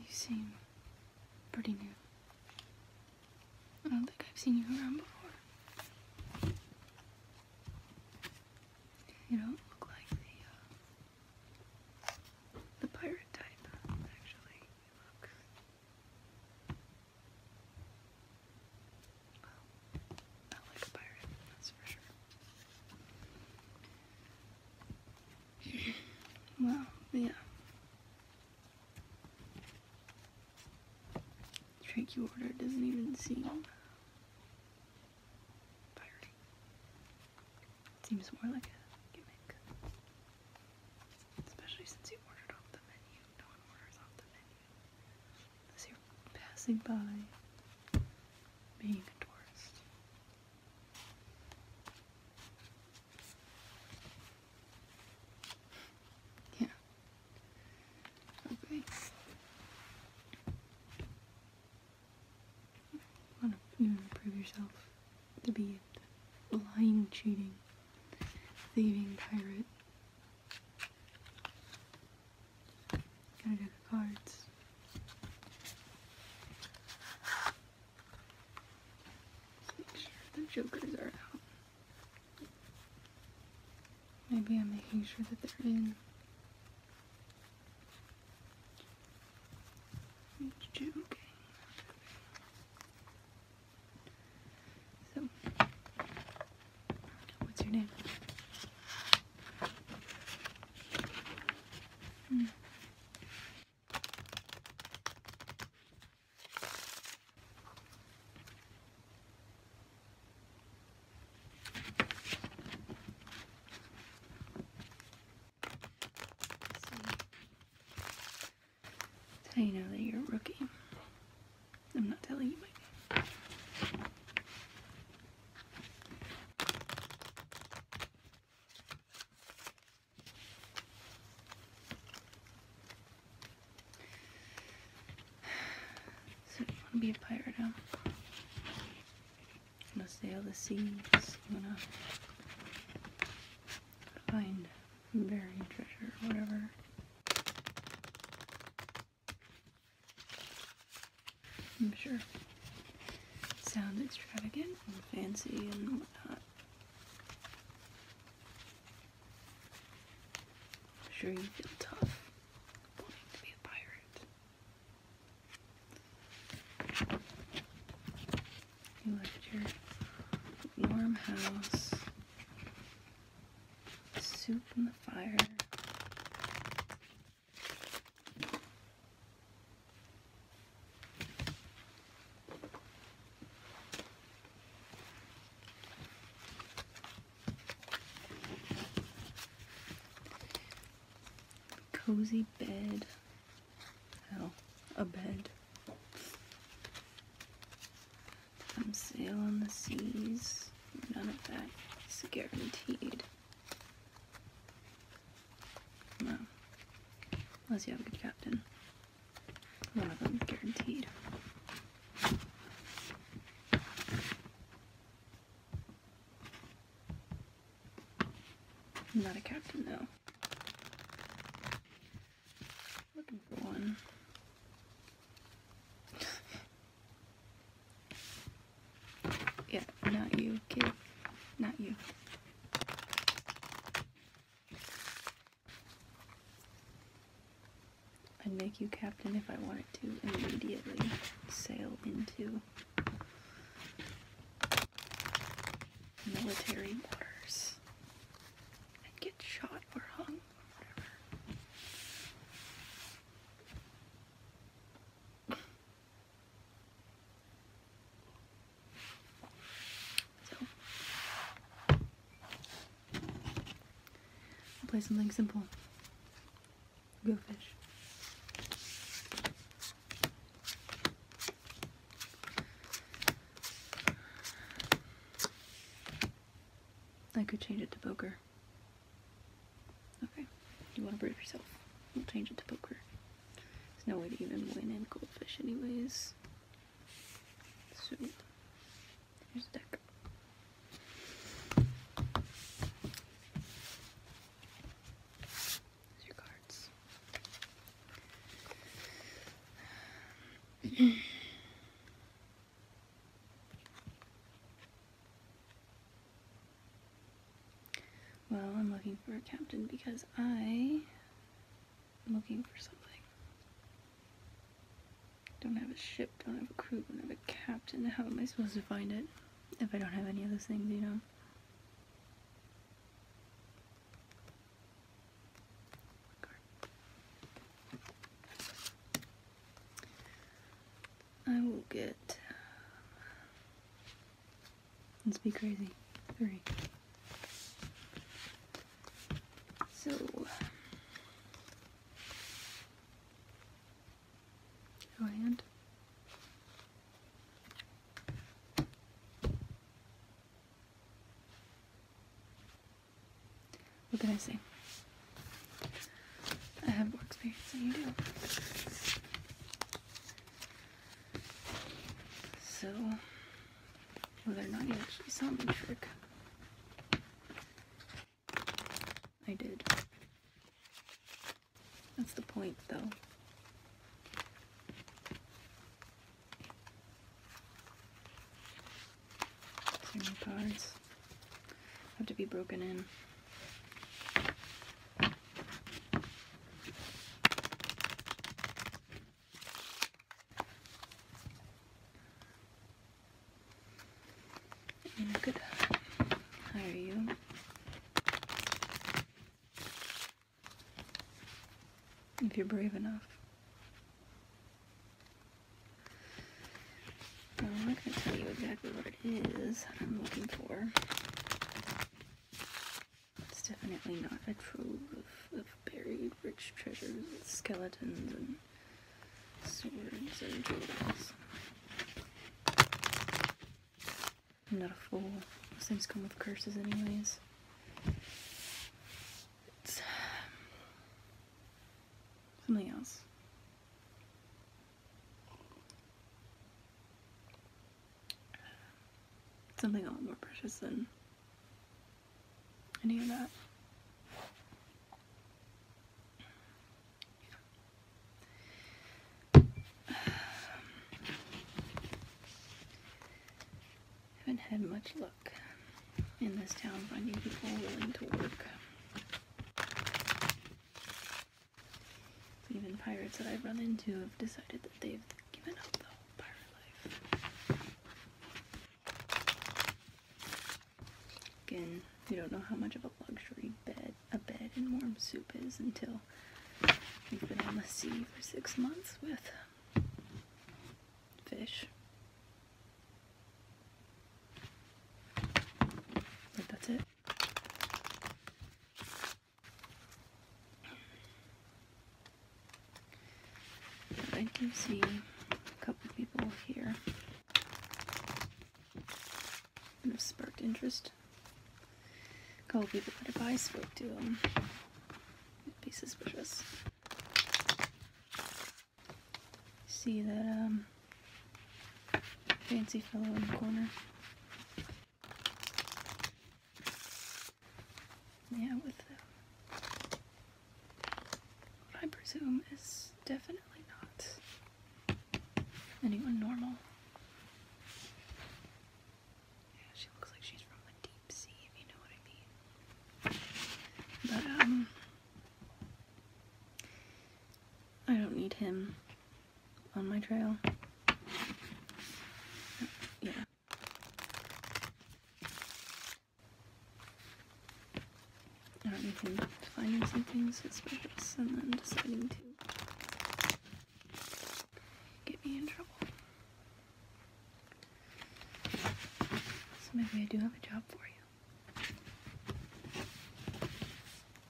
You seem pretty new. I don't think I've seen you around before. You don't look like the, uh, pirate type, actually. Well, not like a pirate, that's for sure. well, yeah. Drink you ordered doesn't even seem Seems more like a gimmick. Especially since you ordered off the menu. No one orders off the menu. Unless you're passing by being a tourist. Yeah. Okay. want to prove yourself to be a lying, cheating, thieving pirate. Got a deck of cards. Make sure the jokers are out. Maybe I'm making sure that they're in. Joking. So, what's your name? Hmm. I know that you're a rookie. I'm not telling you my name. So want to be a pirate, huh? want to sail the seas? want to find buried treasure whatever? I'm sure Sound extravagant and fancy and whatnot. I'm sure you feel tough wanting to be a pirate. You left your warm house, soup in the fire. Cozy bed. Oh, a bed. Come sail on the seas. None of that is guaranteed. No. Unless you have a good captain. One of them guaranteed. not a captain though. Looking for one. yeah, not you, kid. Not you. I'd make you captain if I wanted to immediately sail into military waters and get shot or hung or whatever play something simple. Go fish. I could change it to poker. Okay, you want to prove yourself. We'll change it to poker. There's no way to even win in goldfish anyways. So, here's the deck. your cards. Well, I'm looking for a captain because I am looking for something. Don't have a ship, don't have a crew, don't have a captain. How am I supposed to find it if I don't have any of those things, you know? I will get Let's be crazy. Three. So. Show hand. What can I say? I have more experience than you do. So, whether or not you actually saw my trick. I did. That's the point, though. Too cards have to be broken in. I'm good. you? If you're brave enough. I'm not going to tell you exactly what it is I'm looking for. It's definitely not a trove of, buried rich treasures with skeletons and swords and jewels. I'm not a fool. things come with curses anyways. It's um, something else something a lot more precious than any of that. haven't had much luck in this town finding people willing to work. Even pirates that I've run into have decided that they've given up the whole pirate life. Again, you don't know how much of a luxury bed a bed and warm soup is until you have been on the sea for six months with fish. that's it. I do see a couple people here and of sparked interest. A couple people that if I spoke to them, it'd be suspicious. See that um, Fancy fellow in the corner. Yeah, with the, I presume is definitely not anyone normal. Yeah, she looks like she's from the deep sea, if you know what I mean. But, um, I don't need him on my trail. Yeah. I don't even finding some things suspicious and then deciding to get me in trouble. So maybe I do have a job for you.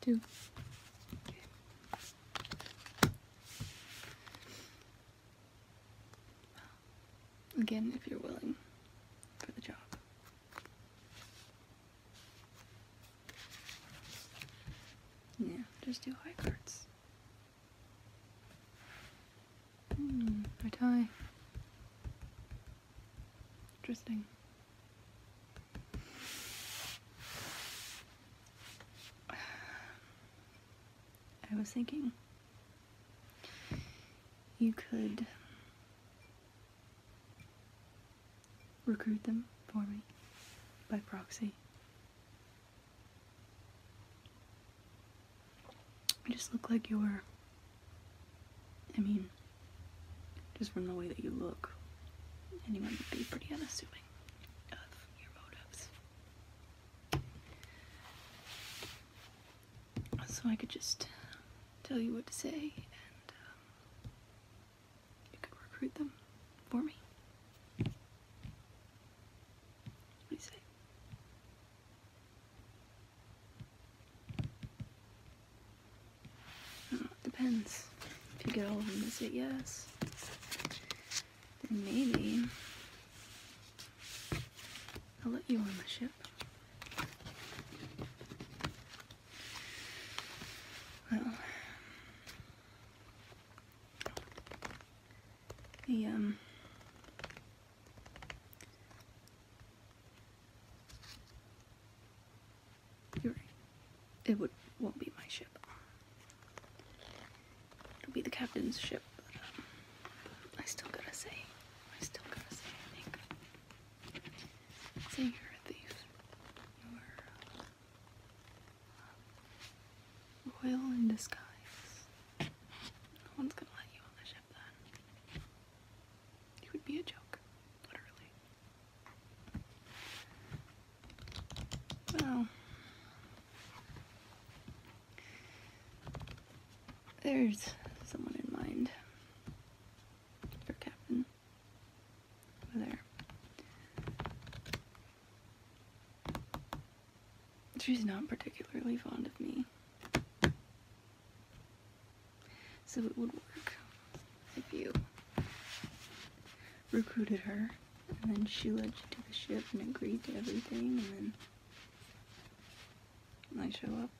Two. Again, if you're willing for the job. Yeah, just do high cards. Hmm, our tie. Interesting. I was thinking you could recruit them for me by proxy. You just look like you're I mean, just from the way that you look, anyone would be pretty unassuming So I could just tell you what to say, and um, you could recruit them for me. What do you say? Oh, it depends. If you get all of them this week, yes. Then maybe I'll let you on the ship. Well, the um, you're right. It would won't be my ship. It'll be the captain's ship. But, um, I still gotta say, I still gotta say, I think. Say you're a thief. You're uh, royal in disguise. No one's gonna let you on the ship relationship then. You would be a joke, literally. Well, there's someone in mind for Captain over there. She's not particularly fond of me. So it would work if you recruited her, and then she led you to the ship and agreed to everything, and then when I show up,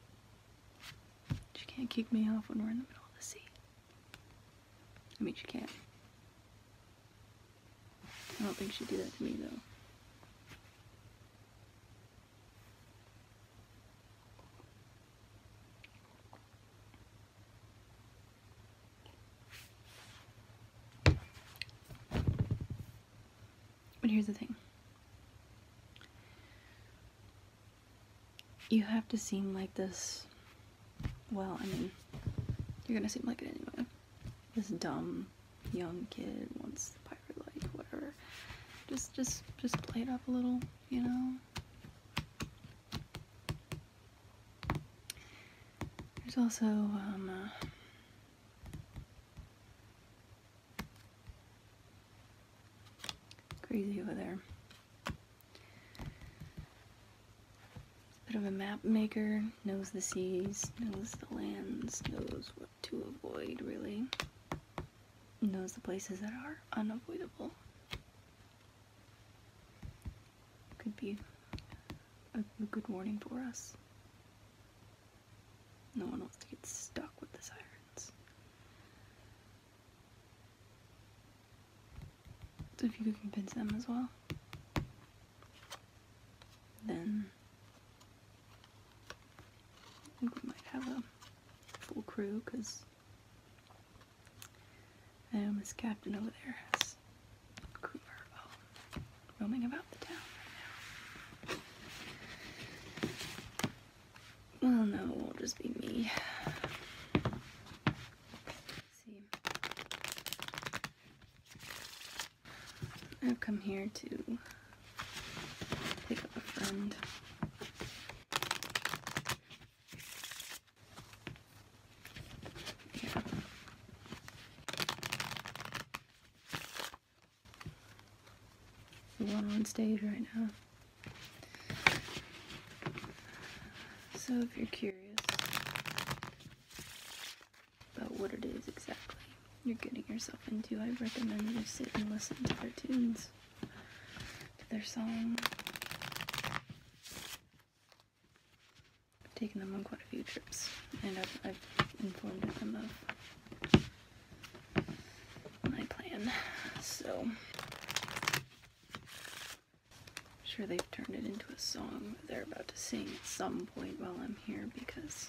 she can't kick me off when we're in the middle of the sea. I mean, she can't. I don't think she'd do that to me, though. But here's the thing. You have to seem like this, well, I mean, you're gonna seem like it anyway. This dumb, young kid wants the pirate life, whatever. Just, just, just play it up a little, you know? There's also, um, uh, crazy over there. Bit of a map maker, knows the seas, knows the lands, knows what to avoid, really. And those the places that are unavoidable. Could be a, good warning for us. No one wants to get stuck with the sirens. if you could convince them as well, then I think we might have a full crew because um, his captain over there has crew oh, roaming about the town Well, no, it won't just be me. see. I've come here to pick up a friend. Yeah. one on stage right now. So if you're curious, about what it is exactly you're getting yourself into, I recommend you sit and listen to their tunes, to their song. I've taken them on quite a few trips, and I've, I've informed them of my plan. So, I'm sure they've turned it into a song they're about to sing at some point while I'm here because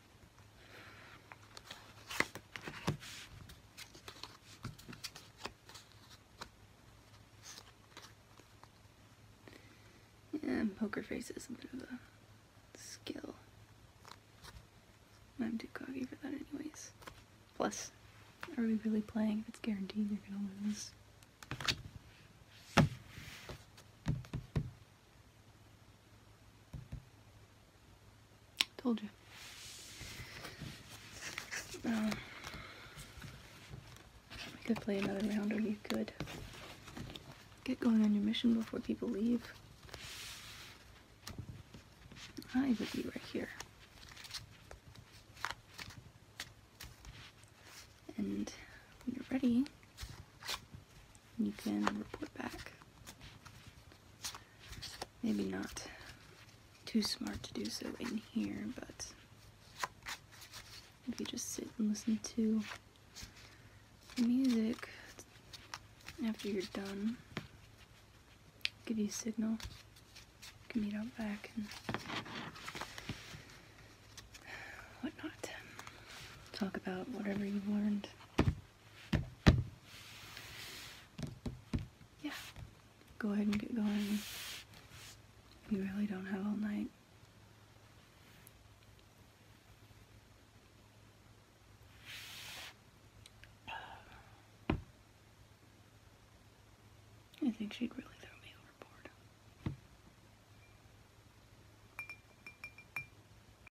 Yeah, poker face is a bit of a skill. I'm too cocky for that anyways. Plus, are we really playing if it's guaranteed you're gonna lose? Told you. Um, we could play another round, or you could get going on your mission before people leave. I would be right here. And when you're ready, you can report back. Maybe not too smart to do so in here, but if you just sit and listen to music after you're done, give you a signal. You can meet up back and whatnot. Talk about whatever you've learned yeah, go ahead and get going. You really don't have all night. I think she'd really throw me overboard.